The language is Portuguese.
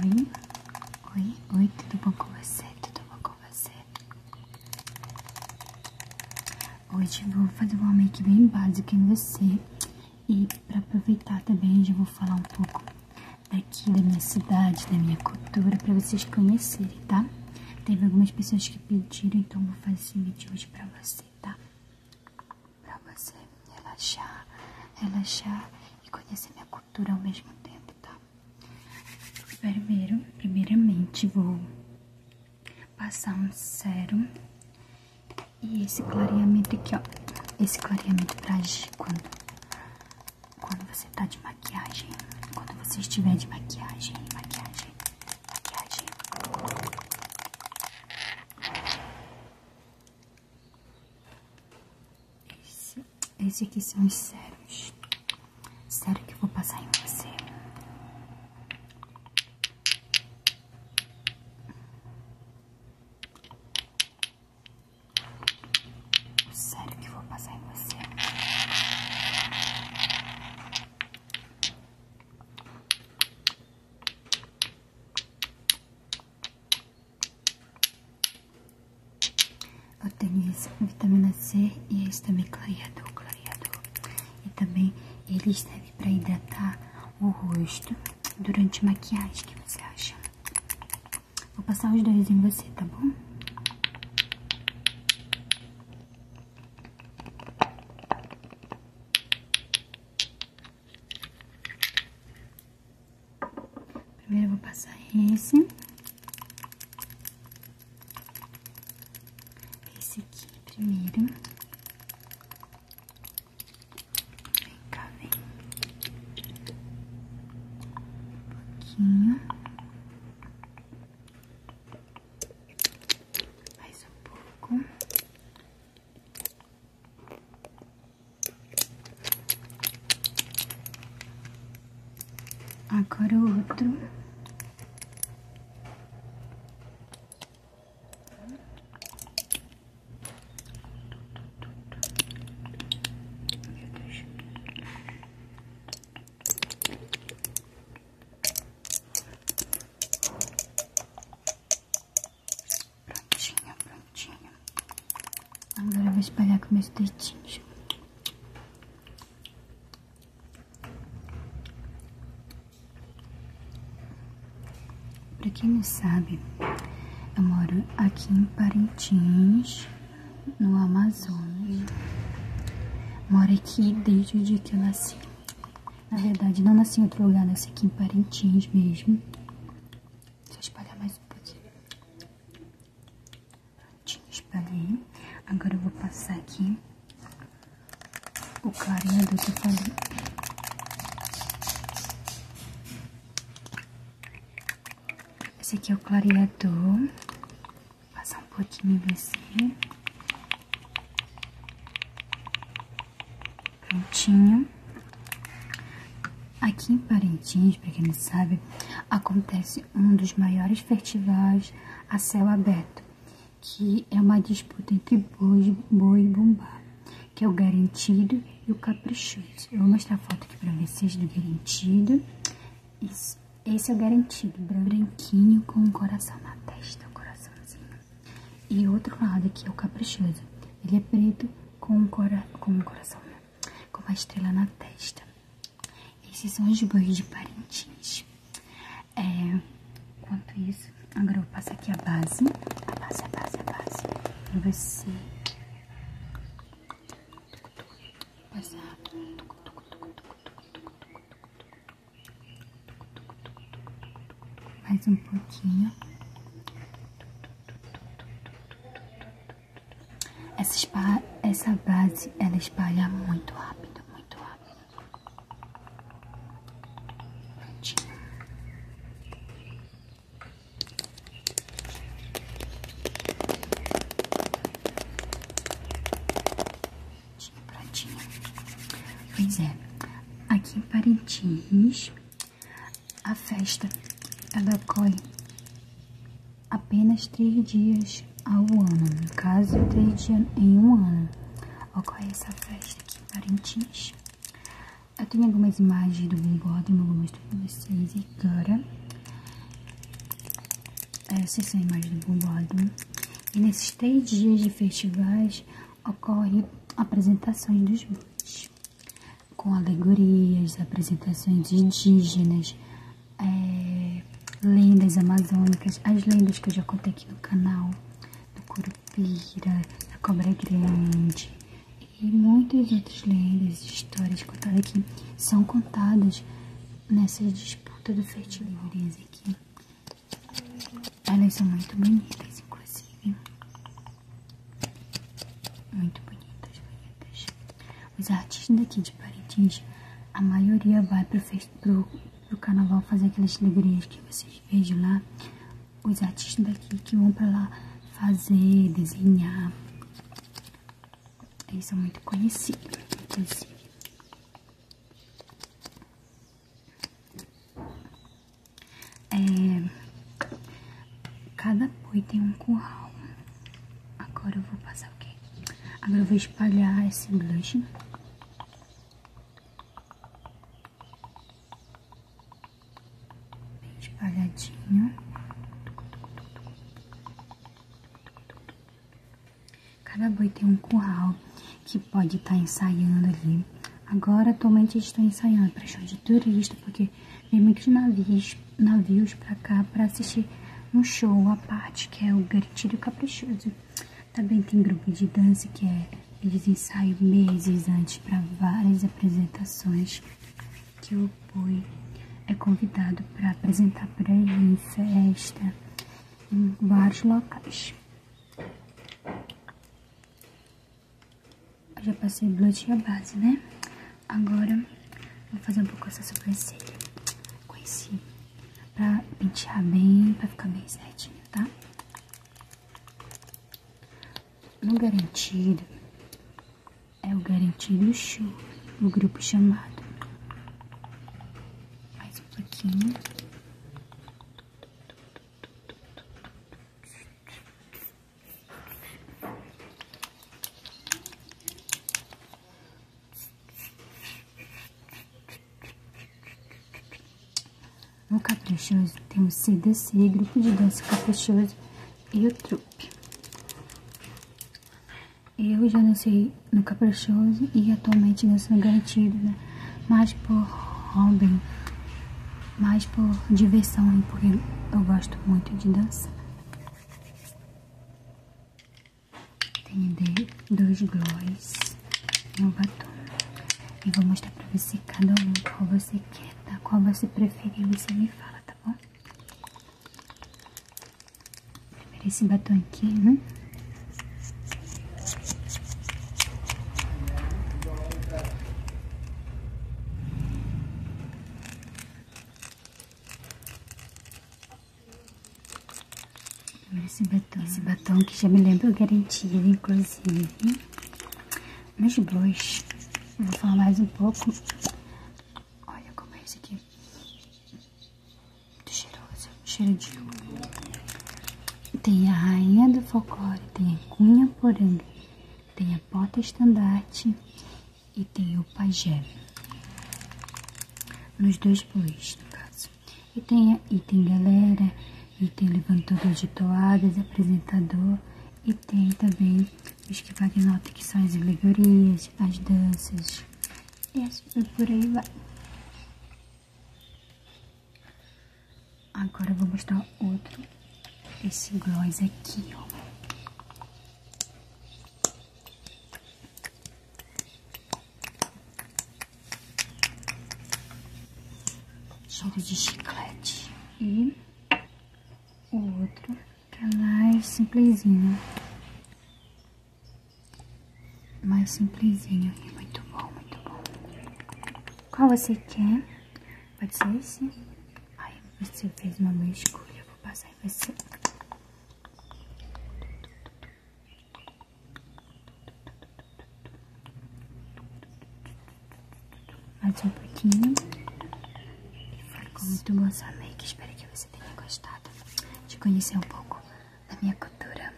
Oi, oi, oi, tudo bom com você? Tudo bom com você? Hoje vou fazer um make bem básico em você e para aproveitar também já vou falar um pouco daqui da minha cidade, da minha cultura para vocês conhecerem, tá? Teve algumas pessoas que pediram, então vou fazer esse vídeo hoje para você, tá? para você relaxar, relaxar e conhecer minha cultura ao mesmo tempo, tá? Primeiro, primeiramente vou passar um sérum e esse clareamento aqui, ó. Esse clareamento pra agir quando, quando você tá de maquiagem, quando você estiver de maquiagem, maquiagem, maquiagem. Esse, esse aqui são os sérios. Sério que vou passar em você. Sério que vou passar em você. Eu tenho esse vitamina C e esse também clareador, clareador. E também ele serve para hidratar o rosto durante maquiagem, O que você acha? Vou passar os dois em você, tá bom? Primeiro vou passar esse. Esse aqui primeiro. Vem cá, vem. Um pouquinho. Mais um pouco. Agora o outro. Prontinho, prontinho. Agora eu vou espalhar com meus dedinhos. Pra quem não sabe, eu moro aqui em Parintins, no Amazonas. Moro aqui desde o dia que eu nasci. Na verdade, não nasci em outro lugar, nasci aqui em Parintins mesmo. Deixa eu espalhar mais um pouquinho. Prontinho, espalhei. Agora eu vou passar aqui o clareador que eu falei. Esse aqui é o clareador. Vou passar um pouquinho em você. Prontinho. Aqui em Parintins, para quem não sabe, acontece um dos maiores festivais a céu aberto, que é uma disputa entre boi, boi e bumbá, que é o garantido e o caprichoso. Eu vou mostrar a foto aqui para vocês do garantido. Esse é o garantido, branquinho com o coração na testa, coraçãozinho. E outro lado aqui é o caprichoso. Ele é preto com um, coração, né? com uma estrela na testa. Esses são os banhos de Parintins. É, enquanto isso, agora eu passo aqui a base. A base, a base, a base. Pra você... Passar mais um pouquinho. Essa, espalha, essa base ela espalha muito rápido, muito rápido. Prontinho. Prontinho, prontinho. Pois é, aqui em Parintins a festa ela ocorre apenas três dias ao ano, no caso, três dias em um ano. Ocorre essa festa aqui em Parintins. Eu tenho algumas imagens do bigode, vou mostrar para vocês agora. Essas são imagens do bombado. E nesses três dias de festivais ocorrem apresentações dos bois com alegorias, apresentações indígenas, é, lendas amazônicas, as lendas que eu já contei aqui no canal, do Curupira, da Cobra Grande e muitas outras lendas e histórias contadas aqui são contadas nessa disputa do festival aqui. Elas são muito bonitas, inclusive. Muito bonitas, bonitas. Os artistas daqui de Parintins, a maioria vai para o carnaval fazer aquelas alegrias que vocês vejam lá. Os artistas daqui que vão para lá fazer, desenhar. Eles são muito conhecidos, inclusive. É, cada boi tem um curral. Agora eu vou passar o quê? Agora eu vou espalhar esse blush. Bem espalhadinho. Cada boi tem um curral que pode estar tá ensaiando ali Agora atualmente estou ensaiando para show de turista, porque vem muitos navios, navios para cá para assistir um show à parte, que é o Gatilho Caprichoso. Também tem grupo de dança que é eles ensaiam meses antes para várias apresentações que o Boi é convidado para apresentar para aí em festa, em vários locais já passei blush e base, né? Agora, vou fazer um pouco essa sobrancelha com esse pra pentear bem, pra ficar bem certinho, tá? No garantido, é o garantido show, o grupo chamado. Mais um pouquinho. No caprichoso temos CDC, grupo de dança caprichoso e o trupe. Eu já dancei no caprichoso e atualmente danço no garantido, né? mais por hobby, mais por diversão, porque eu gosto muito de dançar. Tenho dois gloss e um batom. E vou mostrar pra você cada um qual você quer, tá? Qual você preferir, você me fala, tá bom? esse batom aqui, né? Esse batom, esse batom que já me lembra lembro garanti inclusive. meus blush, vou falar mais um pouco. Olha como é esse aqui. cheiroso, cheiro tem a rainha do folclore, tem a cunha poranga, tem a porta estandarte e tem o pajé. Nos dois blues, no caso. E tem, e tem galera, e tem levantador de toadas, apresentador, e tem também os que fazem que são as alegorias, as danças, e assim por aí vai. Agora eu vou mostrar outro, esse gloss aqui, ó. Cheiro de chiclete. E o outro, que é mais simplesinho. Mais simplesinho muito bom, muito bom. Qual você quer? Pode ser esse? Aí você fez uma boa escolha. Vou passar em você. Mais um pouquinho. Ficou muito bom sua make. Espero que você tenha gostado de conhecer um pouco da minha cultura.